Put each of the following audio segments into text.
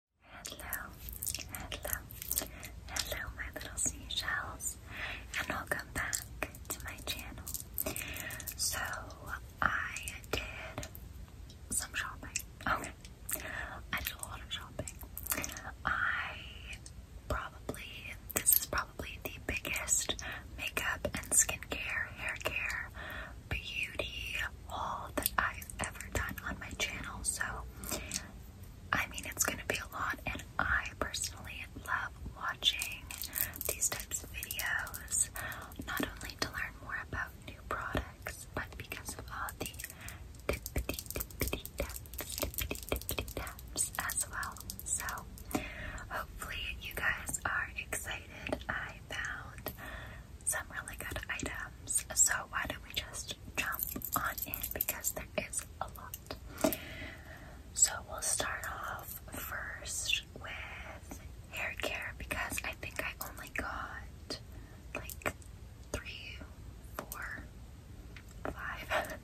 Hello, hello, hello, my little seashells, and welcome back to my channel. So, I did some shopping. Okay, I did a lot of shopping. I probably, this is probably the biggest makeup and skincare, hair care, beauty haul that I've ever done on my channel. So, I mean, it's going to be a lot, and I personally love watching these types of videos, not only to learn more about new products, but because of all the tippity as well. So, hopefully, you guys are excited. I found some really good items, so why don't we just jump on in because there is a lot. So we'll start off first with hair care because I think I only got like three, four, five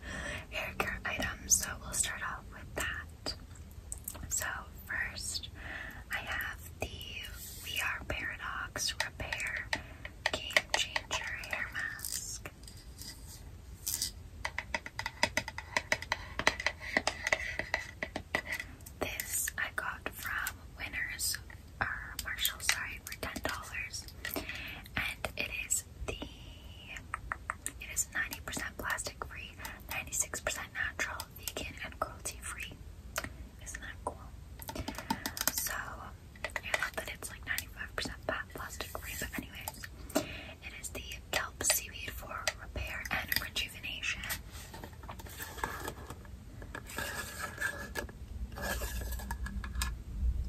hair care items. So we'll start off with that. So first I have the We Are Paradox Repair Game Changer Hair Mask. This I got from Winners or Marshall, sorry, for ten dollars, and it is the it is ninety percent plastic free, ninety six percent natural, vegan, and cruelty free. Isn't that cool? So I love that it's like 95% plastic free, but anyways, it is the kelp seaweed for repair and rejuvenation.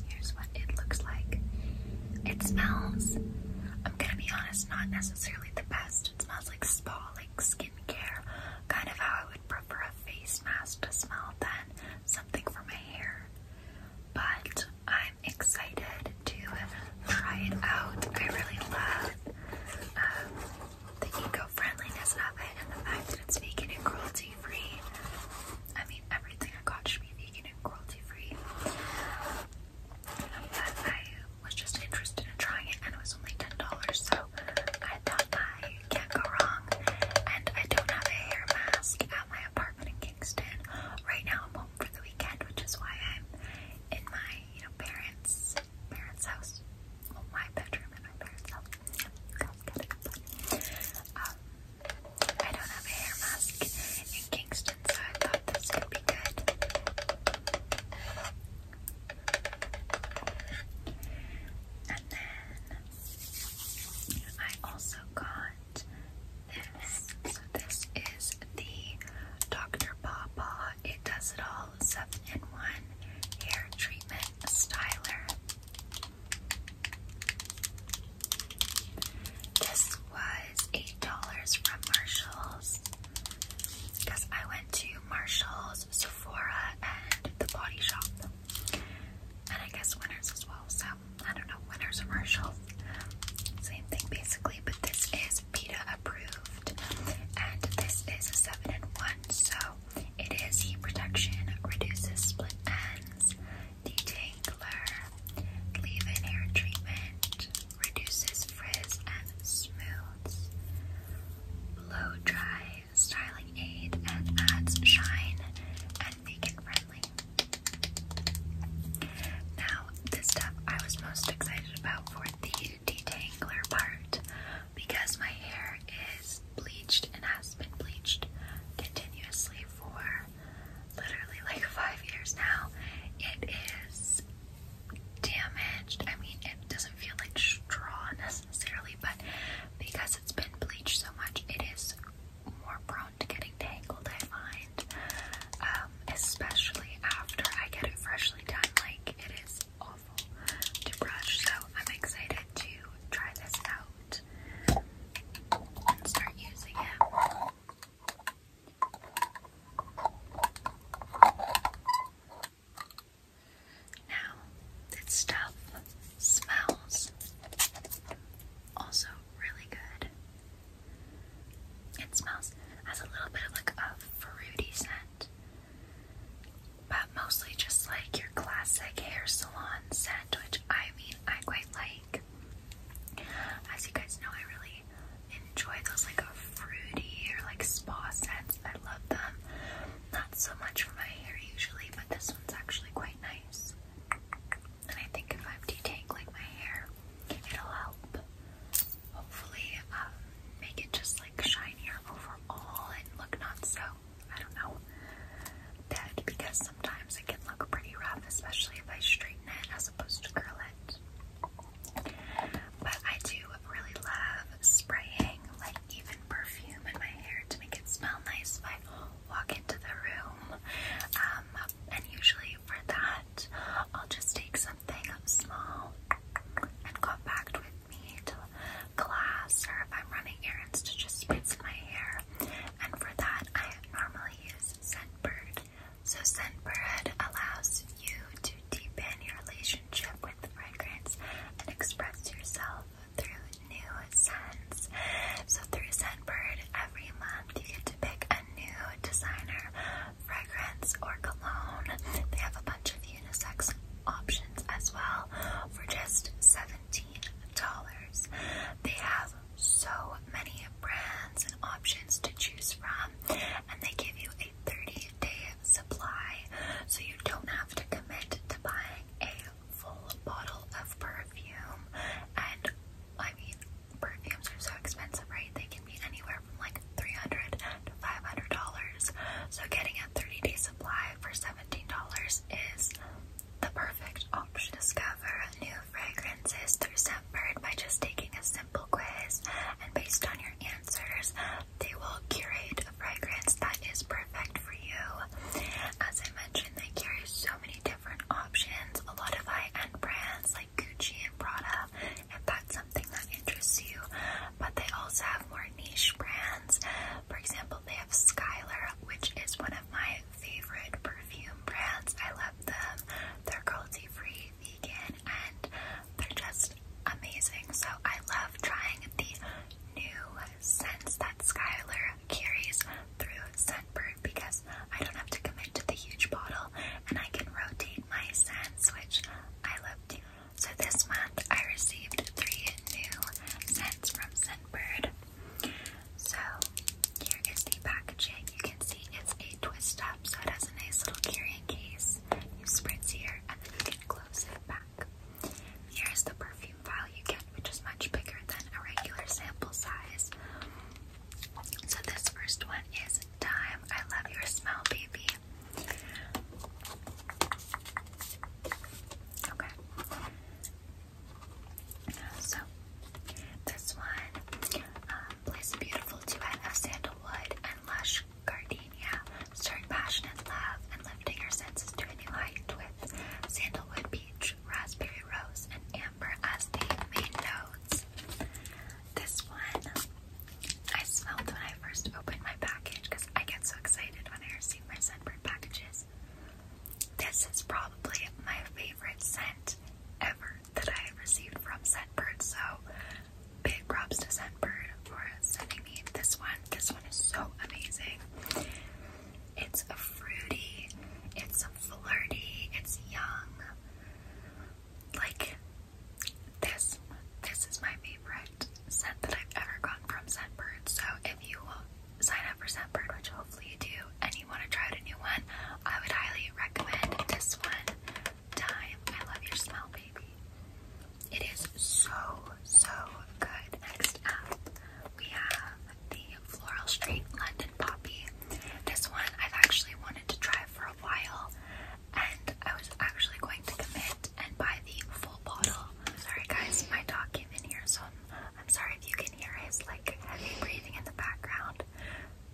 Here's what it looks like. It smells, I'm gonna be honest, not necessarily the best. It smells like spa, like skincare, kind of how I would prefer a face mask to smell than something for my hair, but I'm excited to try it out. I really love um, the eco-friendliness of it and the fact that it's vegan and cruelty-free. I mean, everything I got should be vegan and cruelty-free. But I was just interested in trying it, and it was only ten dollars, so I thought I you can't go wrong. And I don't have a hair mask at my apartment in Kingston. Right now I'm home for the weekend, which is why I'm in my, you know, parents' parents' house. Well, my bedroom and my parents' house. You guys get it. But, um, I don't have a hair mask in Kingston, so I thought this could be good. And then I also got this. this is the Dr. Pawpaw It Does It All 7-in-1 Hair Treatment Styler. This was $8 from Marshalls because I went to Marshalls, Sephora, and the Body Shop and I guess winners as well. So I don't know, winners commercials, same thing basically. But this is PETA approved, and this is a seven in one. So it is heat protection, reduces split ends, detangler, leave-in hair treatment, reduces frizz and smooths, blow dry, styling aid and adds shine and make it friendly. Now, this stuff I was most excited about for the detangler part because my hair is bleached and has been bleached continuously for literally like five years now. It is damaged. I mean, it doesn't feel like straw necessarily, but because it's been bleached so much, it is more prone to getting tangled, I find. Um, especially after I get it freshly done, like it is awful to brush. So I'm excited to try this out and start using it. Now, this stuff smells also really good. It smells has a little bit of like a fruity scent, but mostly just like your classic hair salon scent, which I mean I quite like. As you guys know, I really enjoy those like a fruity or like spa scents. I love them. Not so much for my hair usually, but this one's actually quite nice. And I think if I'm detangling my hair, it'll help hopefully um, make it just like shinier overall and look not so, I don't know, dead because sometimes it can look pretty rough, especially if I straighten it as opposed to curl it. But I do really love spraying like even perfume in my hair to make it smell nice by walk into the room. Um, and usually for that, I'll just take something small and compact with me to class or if I'm running errands to just spritz my hair. And for that, I normally use Scentbird. So Scentbird allows you to deepen your relationship with fragrance and express yourself through new scents. So through Scentbird, every month you get to pick a new designer fragrance or cologne. They have a bunch of unisex options as well for just $17. They have so many brands and options to choose from, and they give you a 30 day supply so you don't have to commit to buying a full bottle of perfume. And I mean, perfumes are so expensive, right? They can be anywhere from like $300 So getting a 30 day supply for $17 is the perfect option. Discover new fragrances through Scentbird by just taking a simple quiz, and based on your answers, they will curate a fragrance that is perfect for you. As I mentioned, they carry so many different options, a lot of high-end brands like Gucci and Prada, if that's something that interests you. But they also have more niche brands. For example, they have Skylar, which is one of my favorite perfume brands. I love them. They're cruelty-free, vegan, and they're just amazing. So I love trying the new sense that Skylar carries through Scentbird because I don't have to commit to the huge bottle and I can rotate my scents, which I love So this month I received three new scents from Scentbird. So here is the packaging. You can see it's a twist up, so it has a nice little carrying case. You spritz here and then you can close it back. Here's the perfume perfume you get, which is much bigger than a regular sample size. So this first one is Time. I love your smell, baby. Okay. So this one um, plays a beautiful duet of sandalwood and lush gardenia, stirring passionate love and lifting your senses to a new height with sandalwood beach raspberry rose, and amber as the main notes. This one I smelled when I first opened my package because I get so excited when I receive my scentbird packages. This is probably my favorite scent ever that I received from Scentbird, so big props to Scentbird for sending me this one. This one is so amazing. It's fruity, it's flirty, it's young. Like this, this is my favorite scent that I've ever gotten from Scentbird. So if you sign up for Scentbird, which hopefully you do, and you want to try a new one, I would highly recommend this one. Time, I love your smell, baby. It is so so good. Next up, we have the Floral Street London Poppy. This one I've actually wanted to try for a while, and I was actually going to commit and buy the full bottle. Sorry guys, my dog came in here, so I'm, I'm sorry if you can hear his like heavy breathing in the background.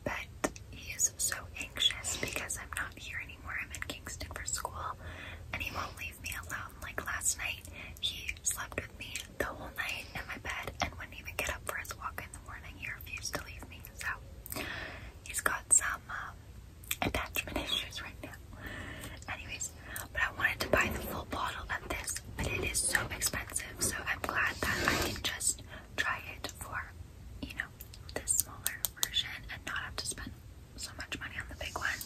But he is so anxious because I'm not here anymore. I'm in Kingston for school, and he won't leave me alone. Like last night, he slept with me the whole night in my bed and wouldn't even get up for his walk in the morning. He refused to leave me, so he's got some um, attachment issues right now. Anyways, but I wanted to buy the full bottle of this, but it is so expensive, so I'm glad that I can just try it for, you know, this smaller version and not have to spend so much money on the big one.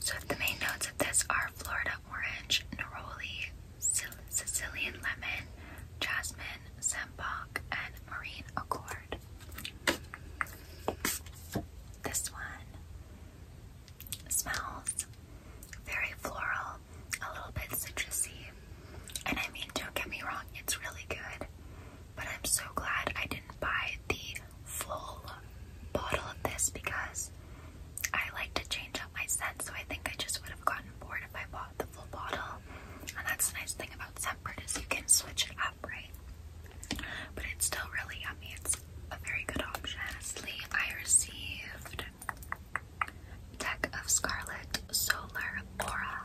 So the main notes of this are Florida orange, neroli, Sicilian lemon, jasmine, sambac, and marine accord. This one smells very floral, a little bit citrusy, and I mean, don't get me wrong, it's really good, but I'm so glad I didn't buy the full bottle of this because I like to change up my scent, so I think I just would have gotten bored if I bought the full bottle. And that's the nice thing about Scentbird is you can switch it up, right? But it's still really yummy. It's a very good option. Lastly, I received Deck of Scarlet Solar Aura.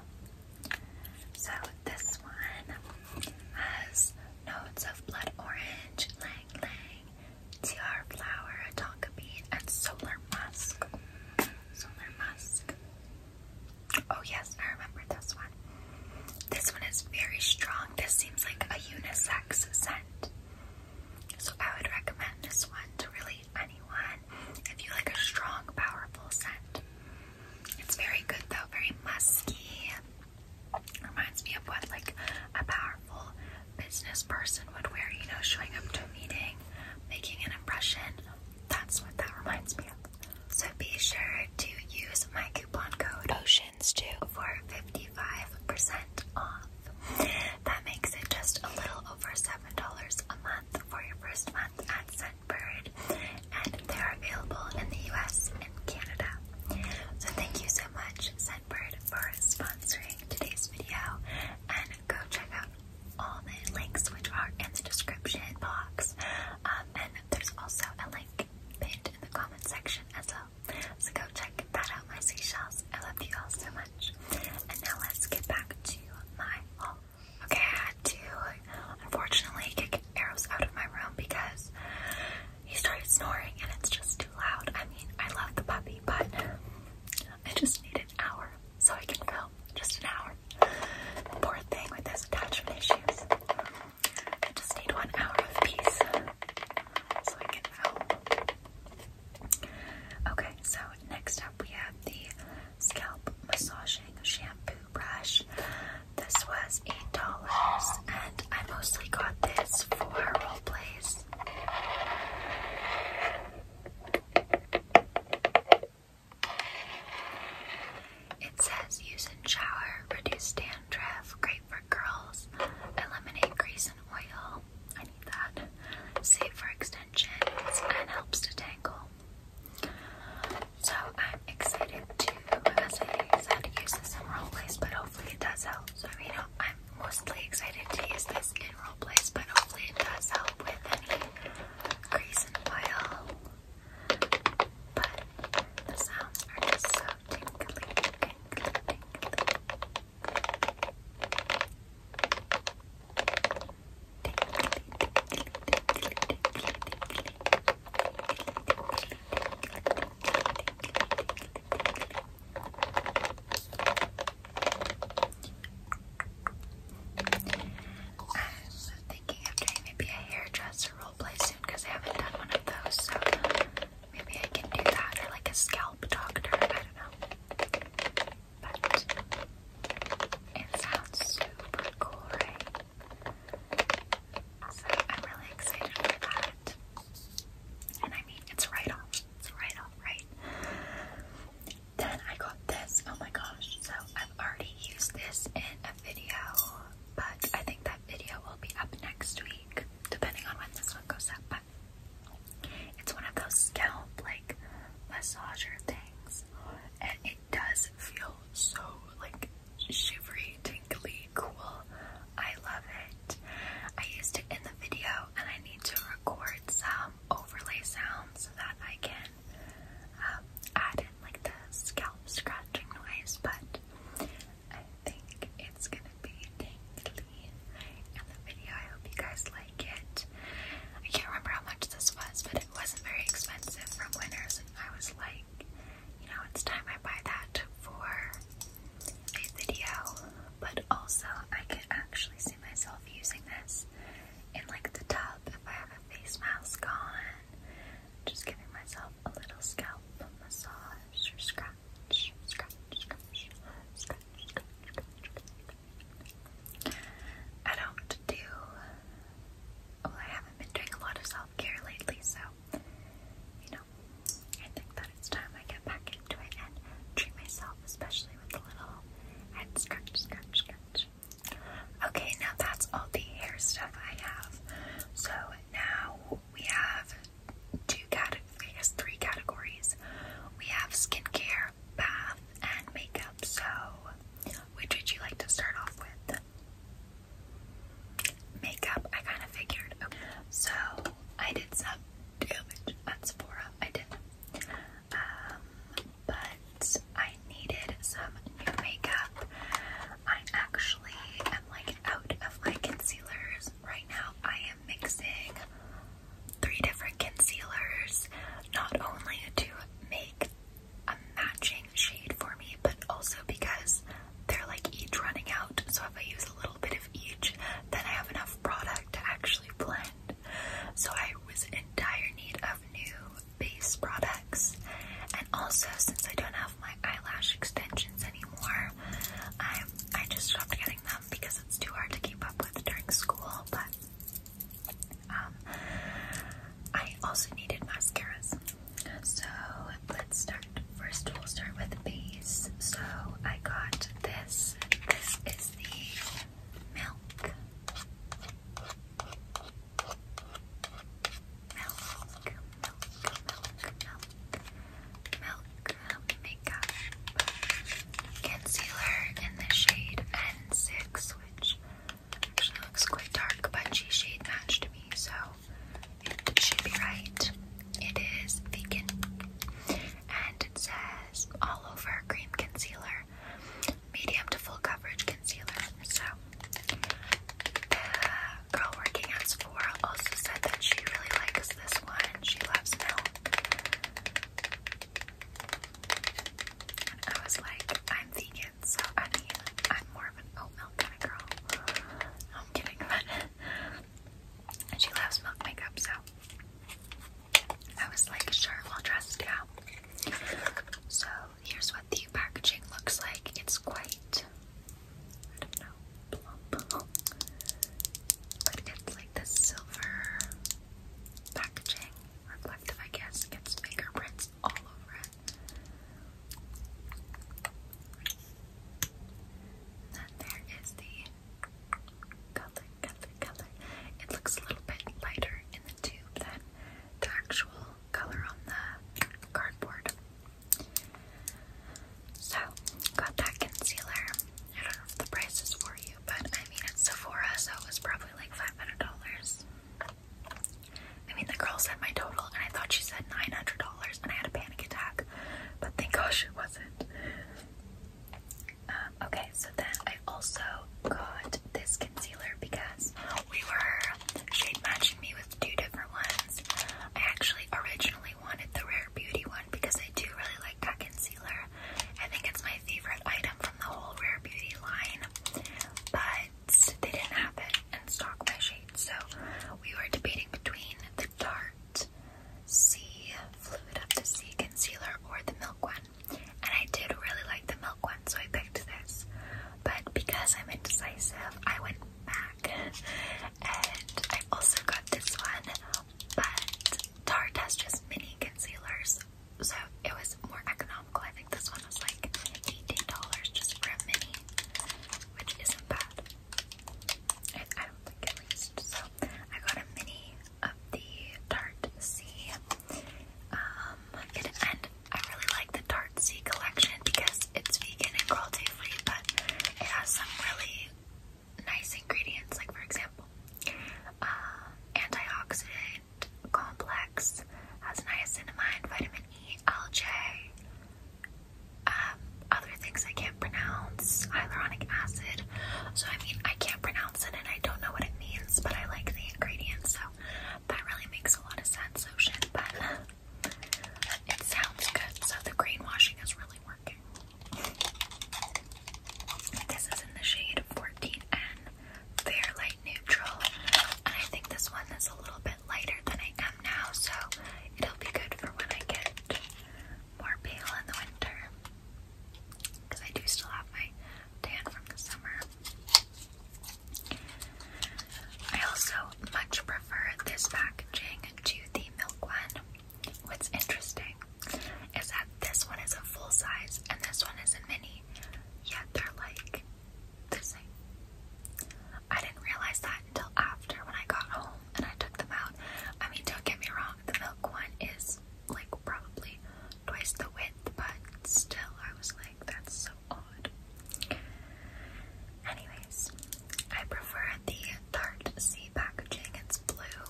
So this one has notes of blood orange, lang lang, tiara flower, a tonka bean, and solar musk. Solar musk. Oh yes, I remember this one. This one is very strong. This seems like a unisex scent. So I would recommend this one to really anyone if you like a strong, powerful scent. It's very good though, very musky. Reminds me of what like a powerful business person would wear, you know, showing up to a meeting, making an impression. That's what that reminds me of. So be sure to use my coupon code OCEANS2 for 55% off. That makes it just a little over $7 a month for your first month at Scentbird. And they're available in the US and Canada. So thank you so much, Scentbird for sponsoring today's video. And go check out all the links which are in the description box. Um, and there's also a link pinned in the comment section as well. So go check that out, my seashells. I love you all so much. And now let's get back to my haul. Okay, I had to unfortunately kick arrows out of my room because he started snoring and it's just too loud. I mean, I love the puppy, but I just need an hour so I can film. Just an hour. Poor thing with those attachment issues. I just need one hour of peace so I can film. Okay, so next up we have the scalp massaging shampoo brush. This was eight dollars, and I mostly got this for role plays. It says use in shower, reduce dandruff, great for curls, eliminate grease and oil. I need that. Safe for extensions and helps to tangle. So I'm excited to, as I said, use this in real place, but hopefully it does help. So you know, I'm mostly excited to use this in place, but hopefully it does help with any grease and oil. But the sounds are just so tingly, tingly, tingly. Tingly, I'm thinking of doing maybe a hairdresser roleplay soon because I haven't done one of those, so maybe I can do that or like a scalp doctor. I don't know. But it sounds super cool, right? So I'm really excited for that. And I mean, it's right off right right. Then I got this. Oh my gosh. So I've already used this in a video, but I think that video will be up next week, depending on when this one goes up. But it's one of those scalp like massager things. And it does feel so like shivery, tingly, cool. I love it. I used it in the video and I need to record some overlay sounds so that I can um, add in like the scalp scratching noise, but I think it's gonna be tingly in the video. I hope you guys like it. I can't remember how much this was, but it wasn't very expensive from Winners, and I was like, you know, it's time I buy that for a video but also I can actually see myself using this in like the tub if I have a face mask on. Just giving myself a little scalp massage or scratch, scratch, scratch, scratch, scratch, scratch. I don't do. Well, I haven't been doing a lot of self care lately, so you know, I think that it's time I get back Okay, now that's all the hair stuff I have. So now we have two categories, I guess three categories. We have skincare, bath, and makeup. So, which would you like to start off with? Makeup, I kind of figured. So, I did some damage at Sephora. I did um, but I needed some new makeup. I actually am like out of my concealers right now. I am mixing three different concealers, not only to make a matching shade for me, but also because they're like each running out. So if I use a little bit of each, then I have enough product to actually blend. So I was in dire need of new base products. And also, since I don't have my eyelash extensions anymore, I I just stopped getting them because it's too hard to keep up with during school. But um, I also needed mascaras. So let's start. First, we'll start with base. So I got this. This is the milk, milk, milk, milk, milk, milk makeup oh concealer in the shade N6, which actually looks quite dark, but she shade matched me, so it should be right. It is vegan, and it says all over cream concealer medium to full coverage concealer. So, the girl working at Sephora also said that she really likes this one. She loves milk. I was like, I'm vegan, so I mean, I'm more of an oat milk kind of girl. I'm kidding, but she loves milk makeup, so I was like, sure, we'll test So here's what the packaging looks like. It's quite, I don't know, plump, but it's like this silver packaging, reflective, I guess. It's fingerprints all over it. And there is the colored color. It looks a little bit lighter in the tube than the actual color on the cardboard. So, got that concealer. I don't know if the price is for you, but I mean, it's Sephora, so it was probably like $500. I mean, the girl said my total, and I thought she said $900, and I had a panic attack, but thank gosh it wasn't. Um, okay, so then I also got this concealer because we were shade matching me with two different ones. I actually originally wanted the Rare Beauty one because I do really like that concealer. I think it's my favorite item from the whole Rare Beauty line, but they didn't have it in stock by shade, so we were debating between the Tarte C Fluid Up to C concealer or the Milk one and I did really like the milk one, so I picked this. But because I'm indecisive, I went back and I also got this one, but Tarte has just mini concealers, so it was more economical. I think this one was like $18 just for a mini, which isn't bad. I don't think at least. So I got a mini of the Tarte C. Um, and I really like the Tarte C collection because it's vegan and cruelty free, but it has some really nice ingredients, like for example, uh, antioxidant complex, has niacinamide, vitamin E, LJ, um, other things I can't pronounce, hyaluronic acid. So I mean, I can't pronounce and I don't know what it means, but I like the ingredients, so that really makes a lot of sense, Ocean. Oh, but it sounds good, so the greenwashing is really working. This is in the shade 14N, Fair Light Neutral, and I think this one is a little bit lighter than I am now, so it'll be good for when I get more pale in the winter because I do still have my tan from the summer. I also much prefer this packaging to the milk one. What's interesting is that this one is a full size and this one is a mini, yet they're like the same. I didn't realize that until after when I got home and I took them out. I mean, don't get me wrong, the milk one is like probably twice the width, but still, I was like, that's so odd. Anyways, I prefer the Tarte packaging, it's blue.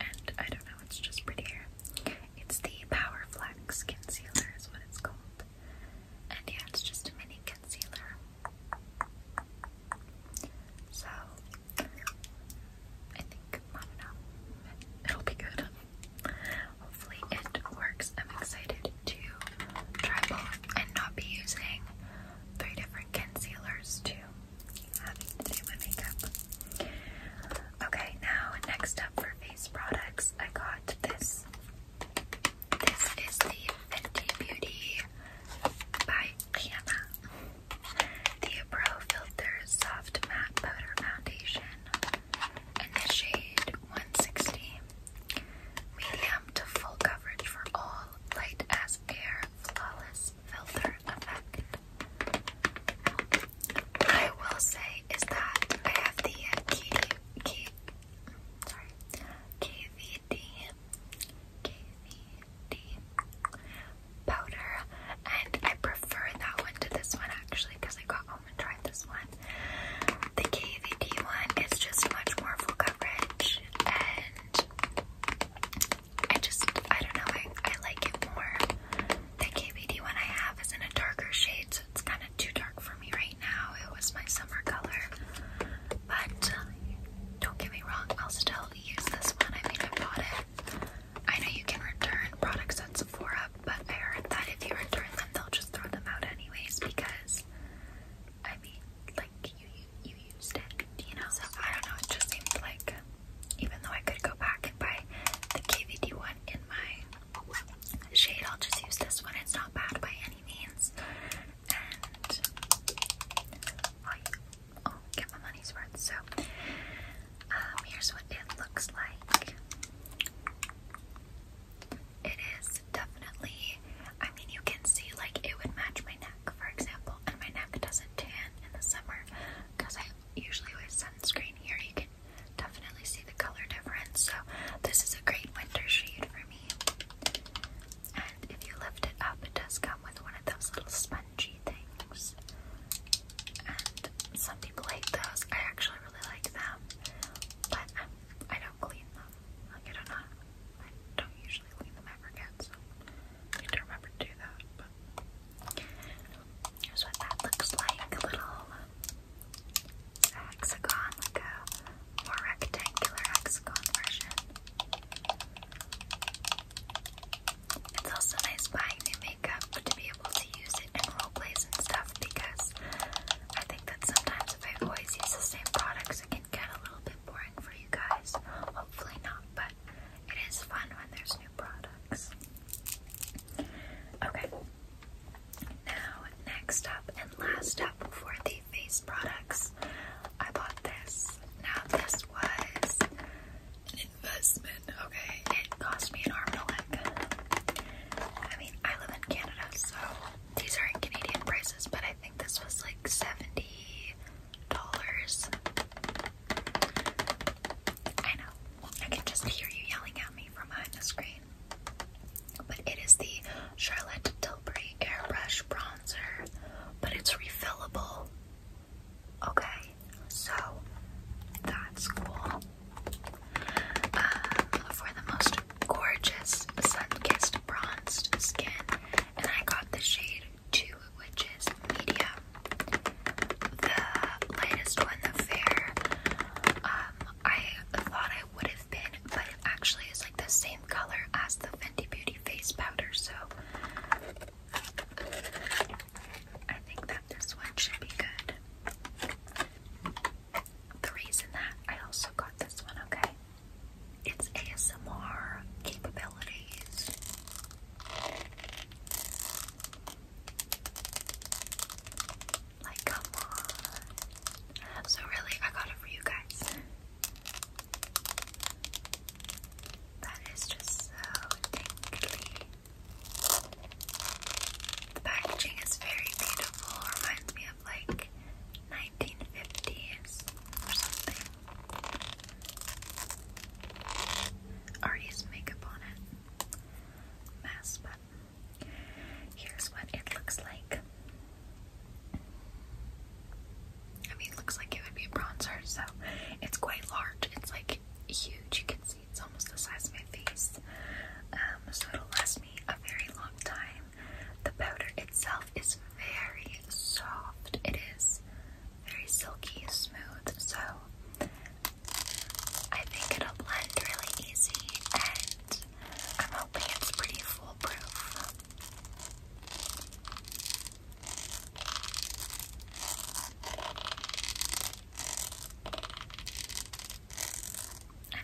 And I don't know, it's just prettier. It's the Power Flex Concealer, is what it's called. And yeah, it's just a mini concealer. So I think I do know. It'll be good. Hopefully it works. I'm excited to try both and not be using three different concealers to having to do my makeup. Okay, now next up for face products, I got this. This is the Fenty Beauty by Rihanna. The Pro Filter Soft Matte Powder Foundation in the shade 160. Medium to full coverage for all light as air flawless filter effect. I will say is that I have the uh, KD, K, sorry, KVD, powder, and I prefer that one to this one actually because I got home and tried this one. The KVD one is just much more full coverage, and I just I don't know I I like it more. The KVD one I have is in a darker shade, so it's kind of too dark for me right now. It was my summer color, but. Uh, don't get me wrong, I'll still use this one. I mean, I bought it I know you can return products at Sephora, but I heard that if you return them, they'll just throw them out anyways because, I mean, like, you, you, you used it, you know? So I don't know, it just seems like, even though I could go back and buy the KVD one in my shade, I'll just use this one. It's not bad by any means. And oh, oh, get my money's worth. So um, here's what it looks like. It is definitely, I mean, you can see like it would match my neck, for example, and my neck doesn't tan in the summer because I usually wear sunscreen here. You can definitely see the color difference, so this is a great winter shade for me. And if you lift it up, it does come with one of those little sponges crunchy things. some people hate those. I actually really like them, but I'm, I do not clean them. I don't usually clean them ever need to remember to do that. But that looks like: a little hexagon, like rectangular hexagon version. It's also nice buying new makeup to be able to use it in role plays and stuff because I think that sometimes if I always use the same products, it can get a little bit boring for you guys. Hopefully not, but it is fun when there's new products. Okay. Now, next up and last up for the face products, I bought this. Now, this was an investment, okay? It cost me an arm and a leg. I mean, I live in Canada, so these are in Canadian prices, but I think this was like $70. I know, I can just hear you yelling at me from behind the screen. But it is the Charlotte Tilbury Airbrush Bronzer, but it's refillable. Okay, so that's cool. Uh, for the most gorgeous sun-kissed bronzed skin, and I got the shade two, which is medium. The lightest one, the fair. Um, I thought I would have been, but actually is like the same color as the Fenty Beauty face powder, so I think that this one should be good. The reason that I also got this one, okay? It's ASMR capabilities. Like, come on. So, really, I got it for you guys. That is just so tingly. The packaging is very beautiful. Reminds me of like 1950s or something. Artie's makeup on it. Mask button. Here's what it looks like. I mean, looks like it would be a bronzer, so it's quite large. It's like huge. You can see it's almost the size of my face. Um, so it'll last me a very long time. The powder itself is very soft. It is very silky, smooth. So I think it'll blend really easy, and I'm hoping it's pretty foolproof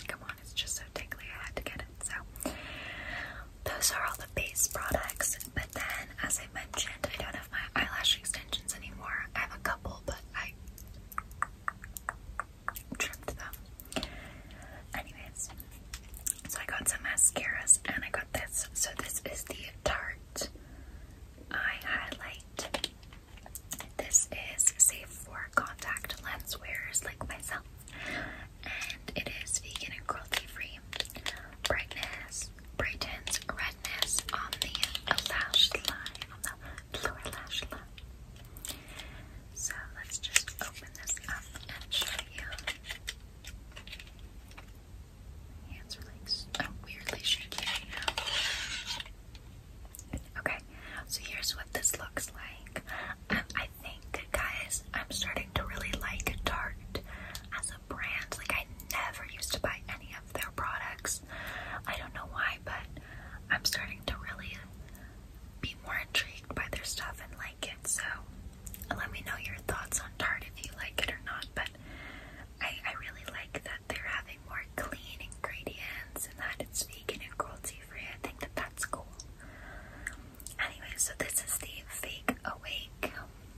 come on, it's just so tingly, I had to get it. So, those are all the base products. But then, as I mentioned, I don't have my eyelash extensions anymore. I have a couple, but I trimmed them. Anyways, so I got some mascaras and I got this. So, this is the Tarte Eye Highlight this is safe for contact lens wearers like myself, and it is vegan and cruelty free. Brightness brightens redness on the lash line, on the lower lash line. So let's just open this up and show you. Hands are like so weirdly shaky right now. Okay, so here's what this looks like. Um, I think, guys, I'm starting to really like Tarte as a brand. Like, I never used to buy any of their products. I don't know why, but I'm starting to really be more intrigued by their stuff and like it. So, let me know your thoughts on Tarte if you like it or not. But I, I really like that they're having more clean ingredients and that it's vegan and cruelty free. I think that that's cool. Anyway, so this is the Fake Awake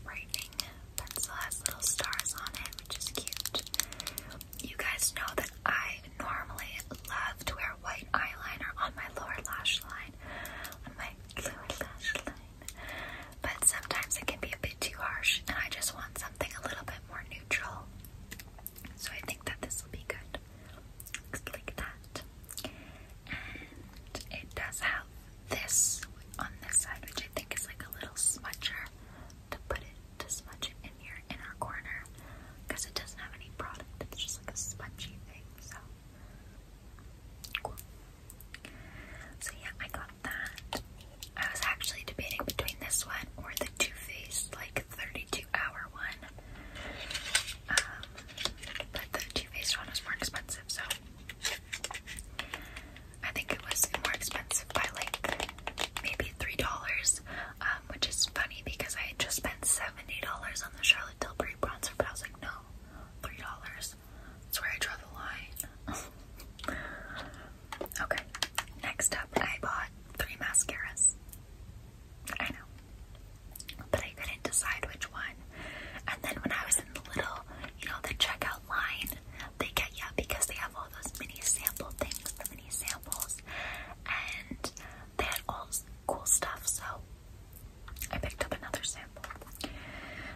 Brightening Pencil. It has little stars on it, which is cute. You guys know that I normally love to wear white eyeliner on my lower lash line, on my lower lash line, but sometimes it can be a bit too harsh, and I just want something a little bit more neutral. So I think that this will be good. like that. And it does have this on this side, which I think is like a little smudger to put it to smudge in your inner corner. Because it doesn't have any product, it's just like a spongy thing, so So yeah, I got that. I was actually debating between this one or the two Faced like 32 hour one. Um, but the two Faced one was more expensive, so I think it was more expensive by like maybe three dollars, um, which is funny because I just spent seventy dollars on the Charlotte Tilbury bronzer, but I was like, no, three dollars. That's where I draw the line. Okay, next up, I bought three mascaras. I know, but I couldn't decide which one. And then when I was in the little, you know, the checkout line, they get yeah, because they have all those mini sample things, the mini samples, and they had all cool stuff. So I picked up another sample.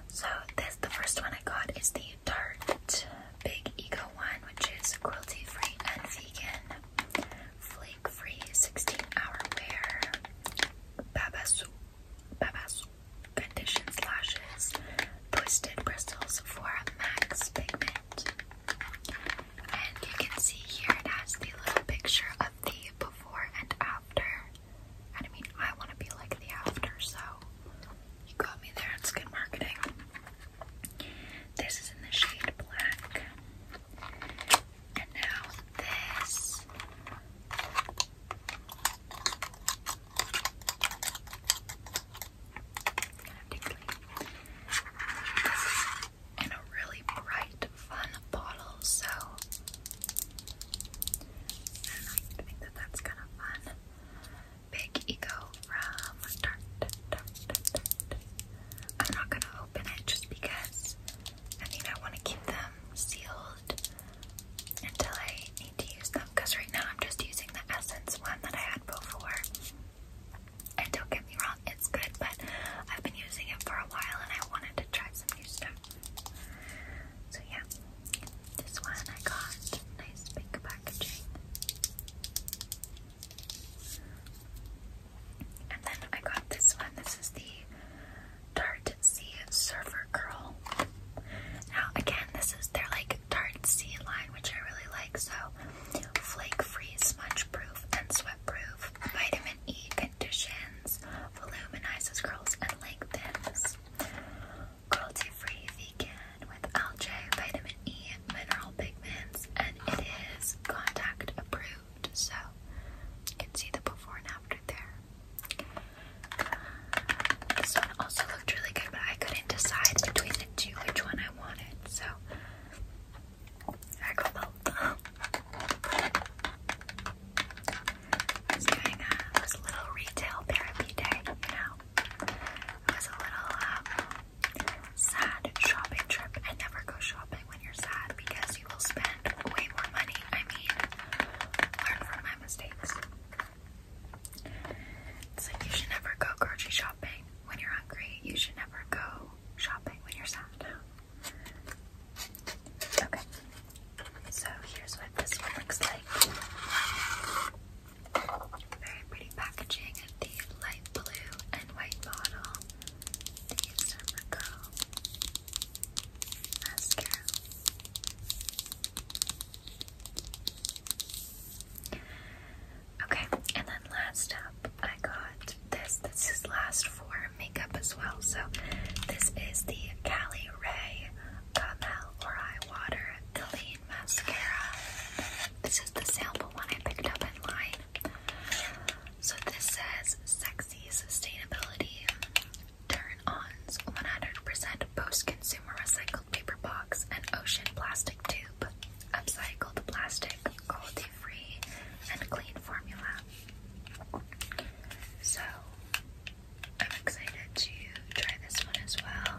So this, the first one I got is the Tarte Big Ego one, which is cruelty free and vegan, flake free 16 hour wear, Babasu, Babasu condition lashes, twisted bristles for max pigment. And you can see here it has the little picture of the before and after. And I mean, I want to be like the after, so you got me there. It's good marketing. This is in the shade black. And now this. in a really bright, fun bottle, so I think that that's kind of fun. Big Ego from Tarte, I'm not gonna open it just because I think I want to keep them sealed until I need to use them. Because right now I'm just using the Essence one that I had before. And don't get me wrong, it's good, but I've been using it for a while and I wanted to try some new stuff. So yeah, this one I got nice big packaging. And then I got this one. This is the Tarte Sea Surfer Curl. Now, again, this is their like Tarte Sea line, which I really like. So, flake free, smudge proof, and sweat proof, vitamin E conditions, voluminizes curls and lengthens, cruelty free, vegan, with algae, vitamin E, mineral pigments, and it is contact approved. So you can see the before and after there. This one also looked really good, but I couldn't decide between the two which one I wanted. So I got both. I was doing little retail therapy day, you know. It was a little um, Sad shopping trip. I never go shopping when you're sad because you will spend way more money. I mean, learn from my mistakes. It's like you should never go grocery shopping when you're hungry. You should never go shopping when you're sad. Okay. So here's what this one looks like. Very pretty packaging of the light blue and white bottle. These are the mascara. Okay, and then last up, I got this. This is last for makeup as well. So, this is the Cali Ray Camel uh, or Eye Water Clean Mascara. This is the sample one I picked up in line. So this says sexy sustainability turn-ons 100% post-consumer recycled paper box and ocean plastic tube upcycled plastic quality-free and clean formula. So I'm excited to try this one as well.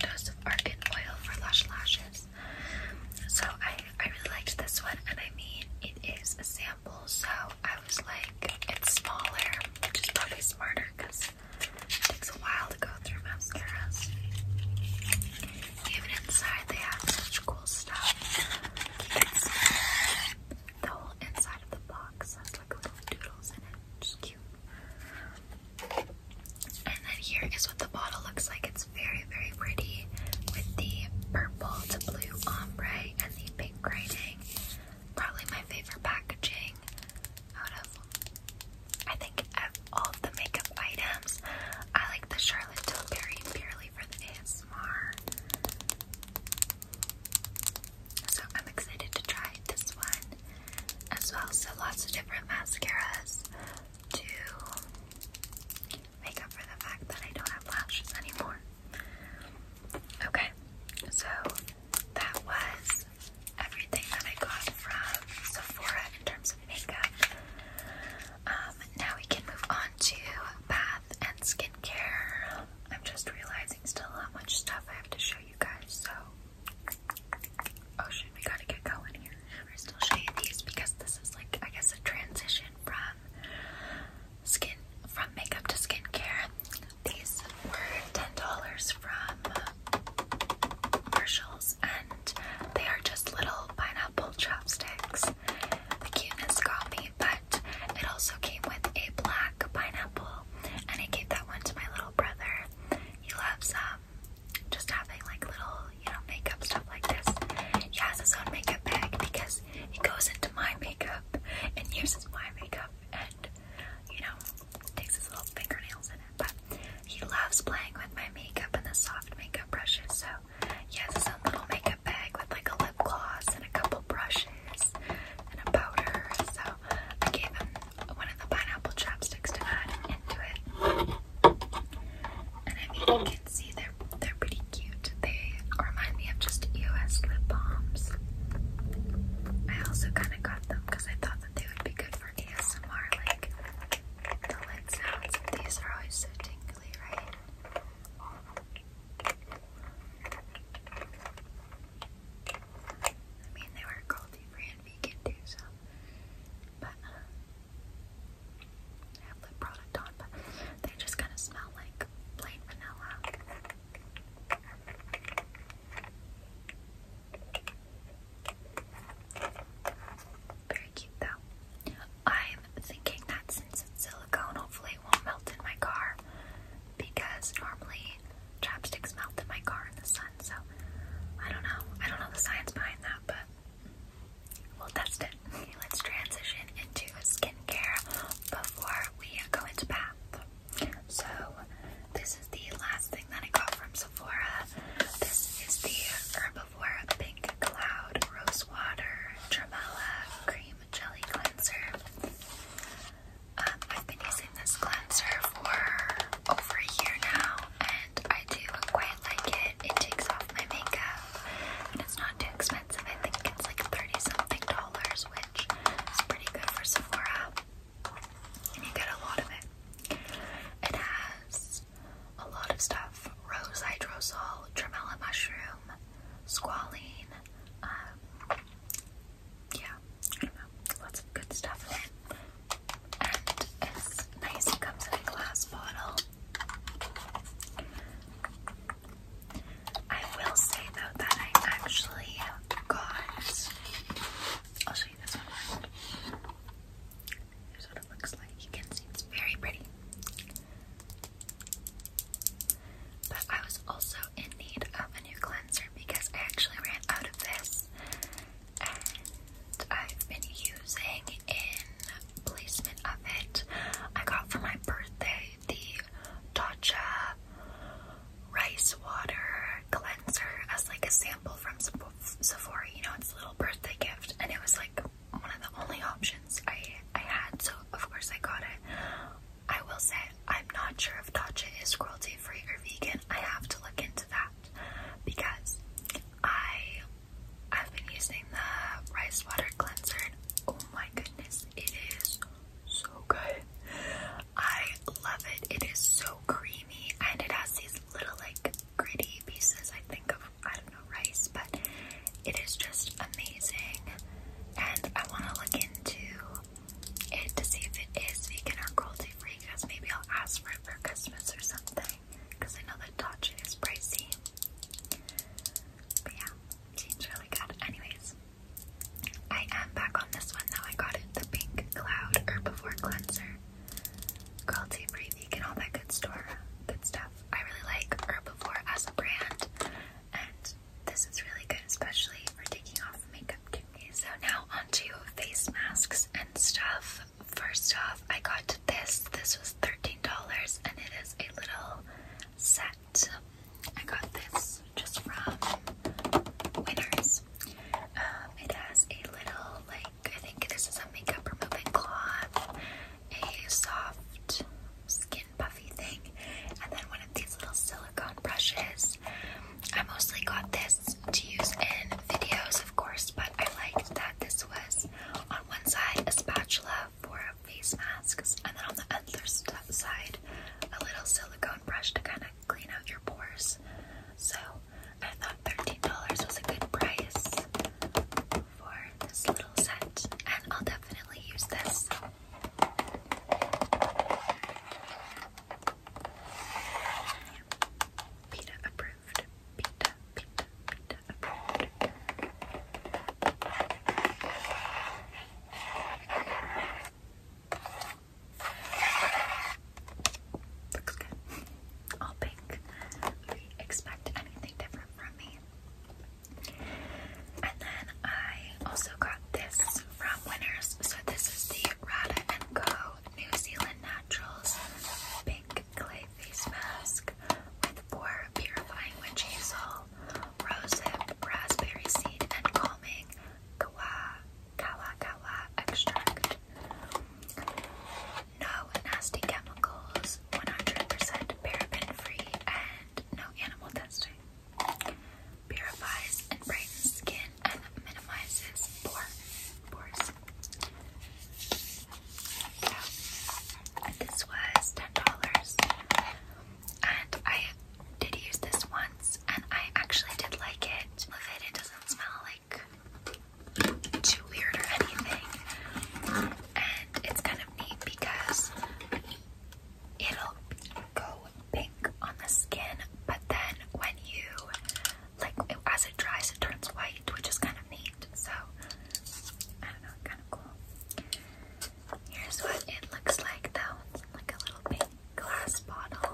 Dose argan oil for lush lashes. So I, I really liked this one, and I mean, it is a sample, so I was like, it's smaller, which is probably smarter because it takes a while to go through mascaras. Even inside, they have such cool stuff. It's, the whole inside of the box has like little doodles in it, just cute. And then here is what the bottle looks like. It's very, very pretty with the purple to blue ombre and the pink writing. Probably my favorite packaging out of, I think, of all of the makeup items. I like the Charlotte Tilbury purely for the ASMR. So I'm excited to try this one as well. So lots of different mascaras to make up for the fact that I don't have lashes anymore. Okay, so that was everything that I got from Sephora in terms of makeup. Um, now we can move on to bath and skincare. I'm just realizing still how much stuff I have to show you guys, so Oh shit, we gotta get going here. First, I'll show you these because this is like, I guess, a transition from skin, from makeup to skincare. These were ten dollars from Marshalls, and they are just little pineapple chopsticks. The cuteness got me, but it also came with a black pineapple, and I gave that one to my little brother. He loves them, um, um, just having like little, you know, makeup stuff like this. He has his own makeup bag because he goes into my makeup and uses my makeup and, you know, takes his little fingernails in it. But he loves playing with my makeup and the soft makeup brushes. So he has his own little makeup bag with like a lip gloss and a couple brushes and a powder. So I gave him one of the pineapple chapsticks to add into it. And I you can see they're they're pretty cute. They remind me of just EOS lip balms. I also kind of got them because I thought that they would be good for ASMR, like the lid sounds. These are always so tingly, right? I mean, they were cruelty free and vegan too, so. But, uh, have lip product on, but they just kind of smell like plain vanilla. Very cute though. I'm thinking that since it's silicone, hopefully it won't melt in my car because normally chapsticks melt in my car in the sun. So I don't know. I don't know the science behind that, but We'll test it. let's transition into skincare before we go into bath. So, this is the last thing that I got from Sephora. This is the Herbivore Pink Cloud Rose Water Cream Jelly Cleanser. Um, I've been using this cleanser for over a year now, and I do quite I like it. It takes off my makeup and it's not too expensive. I think it's like 30 something dollars, which is pretty good for Sephora. And you get a lot of it. It has a lot of stuff rose hydrosol, tremella mushroom, squalene. Um, yeah, Lots of good stuff and it's nice. It comes in a glass bottle. I will say though that I actually got. I'll show you this one. Here's what it looks like. You can see it's very pretty. But I was also in need of a new cleanser because I actually ran out of this I've been using in placement of it. I got for my birthday the Tatcha rice water cleanser as like a sample from Sephora. You know, it's a little birthday gift, and it was like one of the only options I I had, so of course I got it. I will say I'm not sure if Tatcha is cruelty free or vegan. I have to look into that that because I I've been using the rice water cleanser and oh my goodness it is so good. I love it. It is so creamy and it has these little like gritty pieces I think of I don't know rice but it is just amazing and I want to look into it to see if it is vegan or cruelty free because maybe I'll ask for it for Christmas or something because I know that Tatcha is pricey. But yeah, seems really good. Anyways, I am back on this one though. I got the Pink Cloud Herbivore Cleanser. Cruelty free, vegan, all that good stuff. I really like Herbivore as a brand, and this is really good, especially for taking off makeup too. So now onto face masks and stuff first off, I got this. This was $13 and it is a little set. I got this just from Winners. Um, it has a little, like, I think this is a makeup removing cloth, a soft skin puffy thing, and then one of these little silicone brushes. I mostly got this to use in videos, of course, but I liked that this was on one side, a spatula for face masks, and then on the other side, a little silicone brush to kind of clean out your pores. So I thought $13 was a good price for this little set, and I'll definitely use this approved. Pita, pita, Looks good. All pink. Do you expect anything different from me? And then I also got this from Winners. So this is the Rada & Go New Zealand Naturals Pink Clay Face Mask with Pore Purifying Witch Hazel, Rosehip, Raspberry Seed, and Calming kava kava Kawa Extract. No nasty chemicals, 100% paraben free, and no animal testing. Purifies and brightens skin and minimizes pores. This was $10. And I did use this once and I actually did like it. Love it. It doesn't smell like too weird or anything. And it's kind of neat because it'll go pink on the skin, but then when you like it, as it dries, it turns white, which is kind of neat. So I don't know, kind of cool. Here's what it looks like though. It's like a little big glass bottle.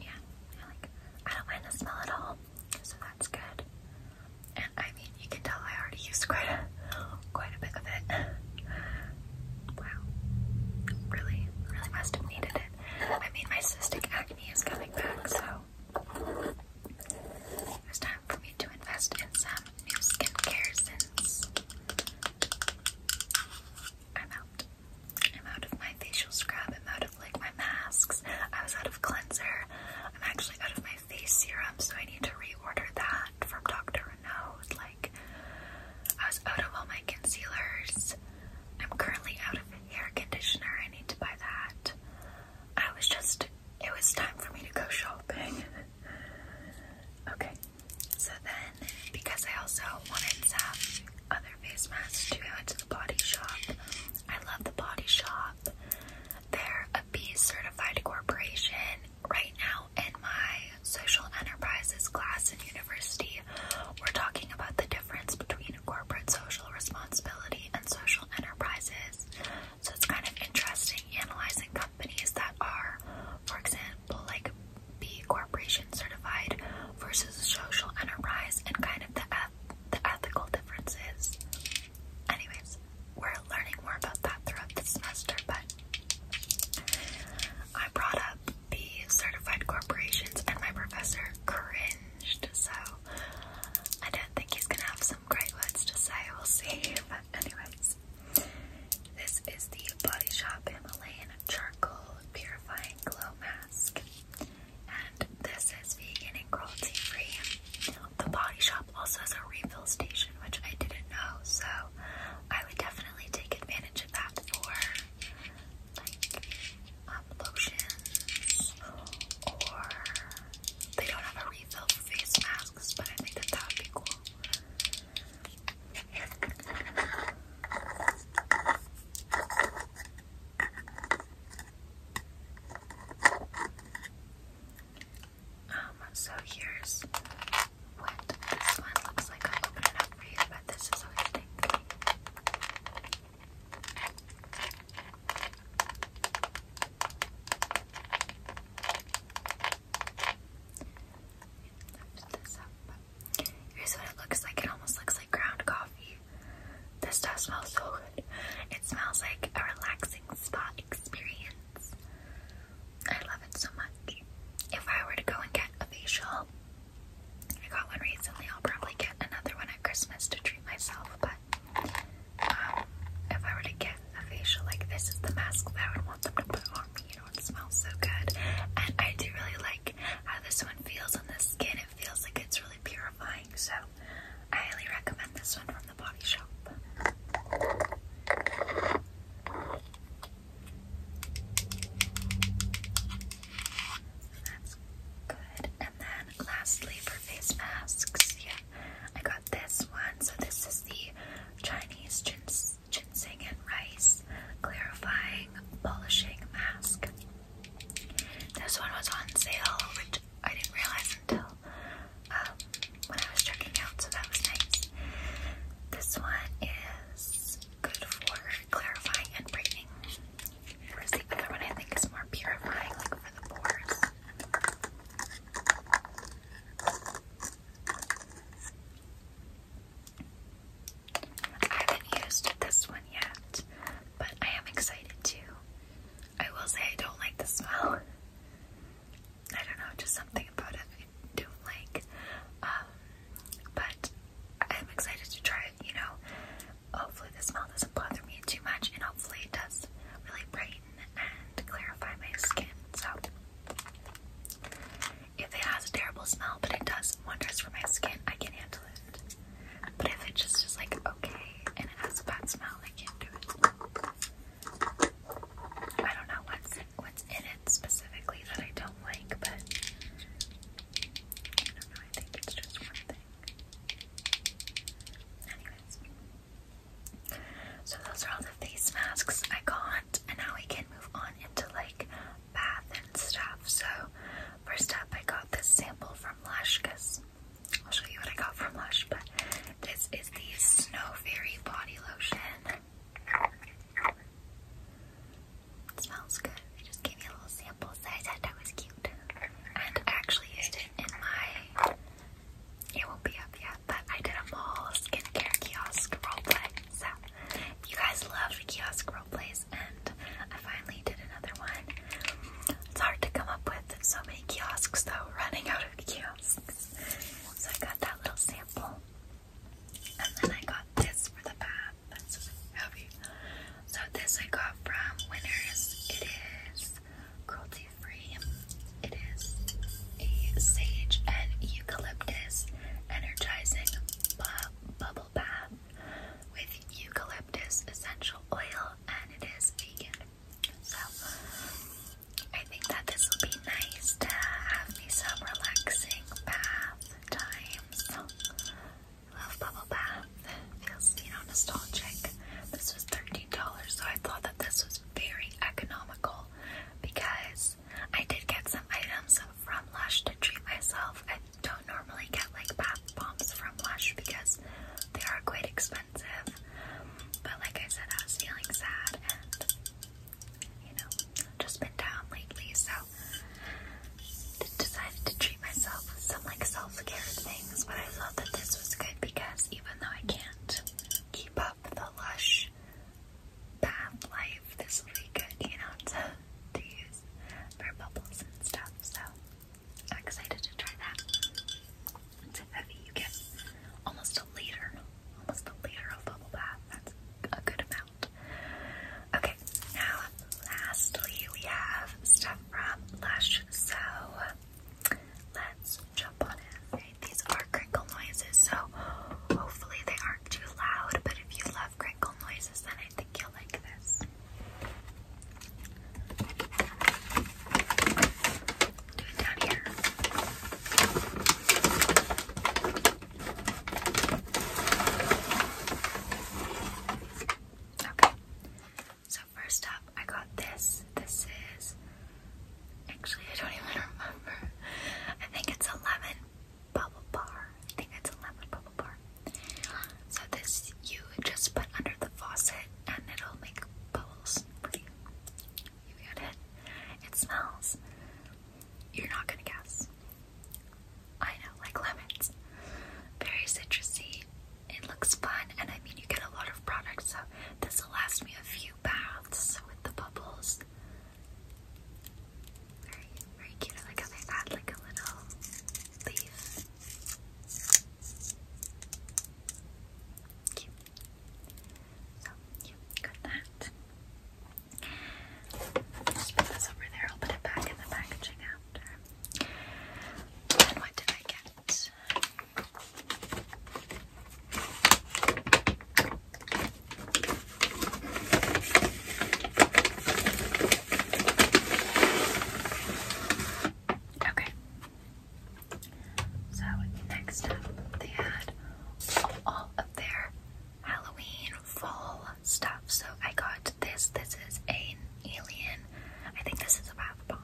Yeah, I like I don't mind the smell at all, so that's good. And I mean you can tell I already used quite quite a bit of it. Wow. Really, really must have needed it. I mean my cystic acne is coming back, so it's time for me to invest in some new skincare since I'm out. I'm out of my facial scrub, I'm out of like my masks, I was out of cleanser, I'm actually out of my face serum, so I need to reorder that from Dr. Renaud. Like, I was out of all my concealers. I'm currently out of hair conditioner. I need to buy that. I was just, it was time for me to go shopping. okay, so then because I also wanted to have other face masks to go to the body shop, I love the body shop. They're a B certified corporation. Right now, in my social enterprises class in university, we're talking about the difference between in corporate social responsibility and social enterprises. So it's kind of interesting analyzing companies that are, for example, like B Corporation certified versus social enterprise and kind of the, eth the ethical differences. Anyways, we're learning more about that throughout the semester, but I brought up the certified corporations and my professor cringed so I don't think he's gonna have some great words to say, we'll see. But anyways, this is the Body Shop Himalayan Charcoal Purifying Glow Mask. And this is vegan and cruelty free. The Body Shop also has a refill station, which I didn't know, so I would definitely take advantage of that for have lotions or they don't have a refill for face masks, but I think that that would be cool. Um, so here's what this one looks like. i open it up for you, but this is this Here's what it looks like. It almost looks like ground coffee. This stuff smells so good. It smells like a relaxing spa experience. I love it so much. If I were to go and get a facial, I got one recently. I'll probably get another one at Christmas to treat myself, but um, if I were to get a facial like this is the mask that I would want them to put on me, you know, it smells so good. And I do really like how this one feels on the skin. It feels like it's really purifying, so I highly recommend this one from the body shop good. And then lastly for face masks, yeah, I got this one. So this is the Chinese gins ginseng and rice clarifying polishing mask. This one was on sale, which I didn't realize until um, when I was checking out, so that was nice. This one is good for clarifying and brightening Whereas the other one I think is more purifying, for the pores. I haven't used this one yet, but I am excited too. I will say I don't like the smell. I don't know, just something about it I don't like. Um, but I'm excited to try it, you know. Hopefully the smell doesn't bother me too much and hopefully it does really brighten and clarify my skin. So if it has a terrible smell but it does wonders for my skin, I can handle it. But if it just is like okay and it has a bad smell, I can't do it. I don't know what's what's in it specifically that I don't like, but I don't know, I think it's just one thing. Anyways. So those are all the face masks I got and now we can move on into like bath and stuff. So first up I got this sample from Lush because I'll show you what I got from Lush, but this is the Snow Fairy Body Lotion. smells good. They just gave me a little sample sample size I thought was cute. And actually used it in my it won't be up yet, but I did a mall skincare kiosk roleplay. So you guys love kiosk roleplays and I finally did another one. It's hard to come up with so many kiosks though, running out of kiosks. So I got that little sample. And then I got this for the bath. That's heavy. So this I got from Winners. It is cruelty free. It is a sage and eucalyptus energizing bubble bath with eucalyptus essential oil and it is vegan. So I think that this will be nice to have me some relaxing bath times. Love bubble bath feels, you know, nostalgic. This was $13, so I thought that this was very economical because I did get some items from Lush to treat myself. I don't normally get like bath bombs from Lush because they are quite expensive. But like I said, I was feeling sad and you know, just been down lately, so decided to treat myself with some like self-care things, but I thought that this was good because even though I can't keep up the lush bath life, this will be good, you know, to, to use for bubbles and stuff, so I'm excited to try that. It's heavy, you get almost a liter, almost a liter of bubble bath, that's a good amount. Okay, now lastly we have stuff from Lush, so let's jump on in. these are crinkle noises, so hopefully they aren't too loud, but if you love crinkle noises, then I think you'll like this. Do it down here. So first up, I got this. This is actually I don't even remember. I think it's a lemon bubble bar. I think it's a lemon bubble bar. So this you just put under the faucet and it'll make bubbles you. You it? It smells. You're not gonna guess. I know, like lemons. Very citrusy, it looks fun, and I mean, you get a lot of products, so this will last me a few baths with the bubbles. Very, very cute. I like how they add like a little leaf. Cute. So, you got that. Just put this over there. I'll put it back in the packaging after. what did I get? Okay. So next up, they had all of their Halloween fall stuff. So I got this. This is an alien I think this is a bath bomb.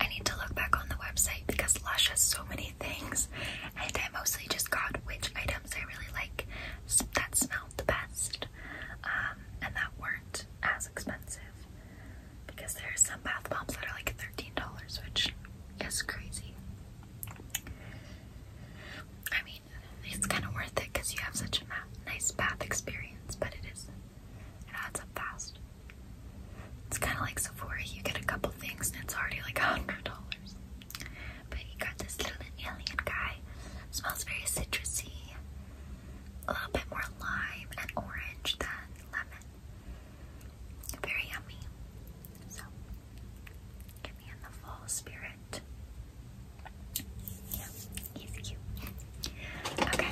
I need to look back on the website because Lush has so many things, and I mostly just got which items I really like that smelled the best um, and that weren't as expensive. Because there are some bath bombs that are like $13, which is crazy. I mean, it's kind of worth it because you have such a nice bath experience, but it is it adds up fast. It's kind of like Sephora. You get a couple things and it's already like a hundred dollars. But you got this little alien guy. Smells very citrusy. A little bit more lime and orange than lemon. Very yummy. So, get me in the fall spirit. Yeah, he's cute. Okay,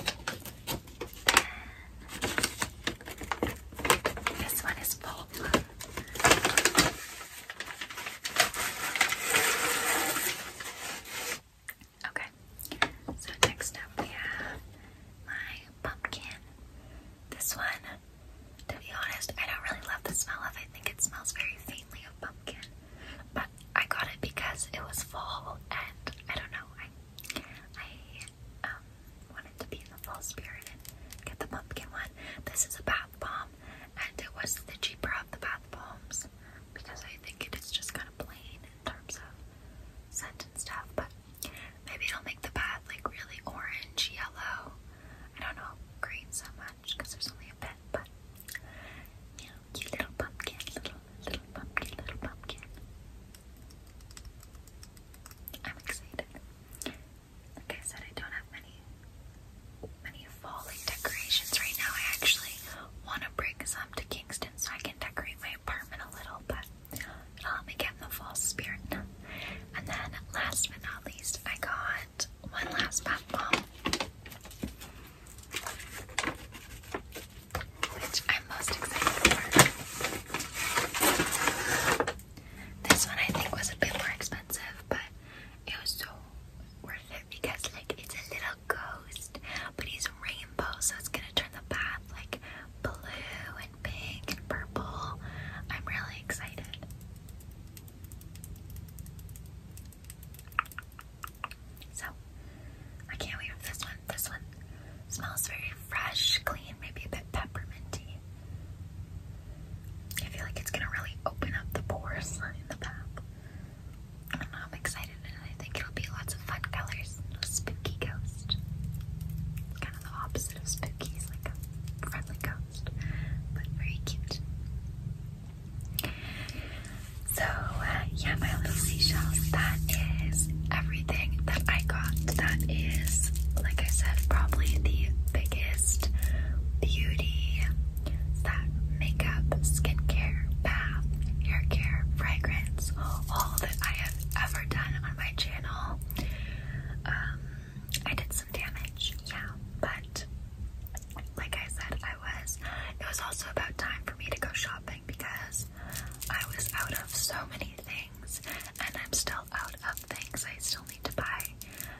this one is full. Okay, so next up we have my pumpkin. This one, to be honest, I don't really love the smell of it. I think it smells very faintly of pumpkin. But I got it because it was fall and I don't know, I um, wanted to be in the fall spirit and get the pumpkin one. This is a bath bomb, and it was the cheaper of the bath bombs because I think it is just kind of plain in terms of scent and stuff. But maybe it'll make the bath like really orange, yellow. I don't know green so much because there's only a bit, but you know, cute little pumpkin, little little pumpkin, little pumpkin. I'm excited. Like I said, I don't have many many fall decorations right now. I actually want to bring some to Kingston so I can decorate my apartment a little, but it me get the fall spirit. And then, last but not least, I got one last pop bomb which I'm most excited for. This one I think was a bit more expensive, but it was so worth it because like it's a little ghost, but he's rainbow, so it's gonna turn the bath like blue and pink and purple. I'm really excited. So I can't wait for this one. This one smells very fresh, clean, maybe a bit pepperminty. I feel like it's gonna really open up the pores in the bath. I don't know, I'm excited and I think it'll be lots of fun colors. A spooky ghost. Kind of the opposite of spooky, it's like a friendly ghost, but very cute. So, yeah, my little seashells. That is everything that I got. That is, like I said, probably the biggest beauty that makeup, skincare, bath, hair care, fragrance, all that I have ever done on my channel. Um, I did some damage, yeah, but like I said, I was. It was also about time for me to go shopping because I was out of so many things, and I'm still out of things. I still need to buy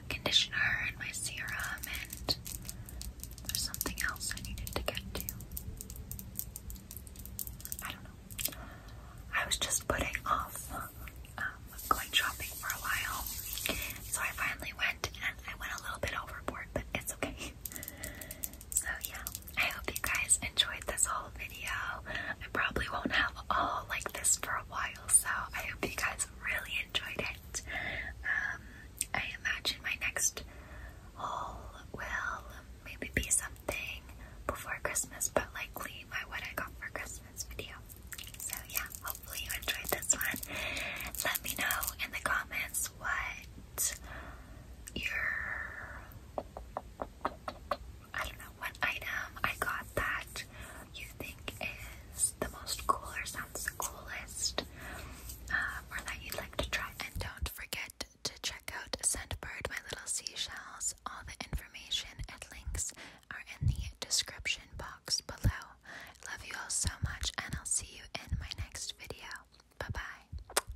conditioner and my serum, and there's something else I needed to get to. I don't know. I was just putting off um, going shopping for a while, so I finally went, and I went a little bit overboard, but it's okay. So yeah, I hope you guys enjoyed this whole video. I probably won't have all like this for a while, so I hope you guys really enjoyed it. Um, I imagine my next haul will maybe be something before Christmas, but likely my what I got for Christmas video. So yeah, hopefully you enjoyed this one. Let me know in the comments what your I don't know what item I got that you think is the most cool or sounds the coolest, um, or that you'd like to try. And don't forget to check out Scentbird, my little seashells. All the information and links are in the description box below. Love you all so much, and I'll see you in my next video. Bye bye.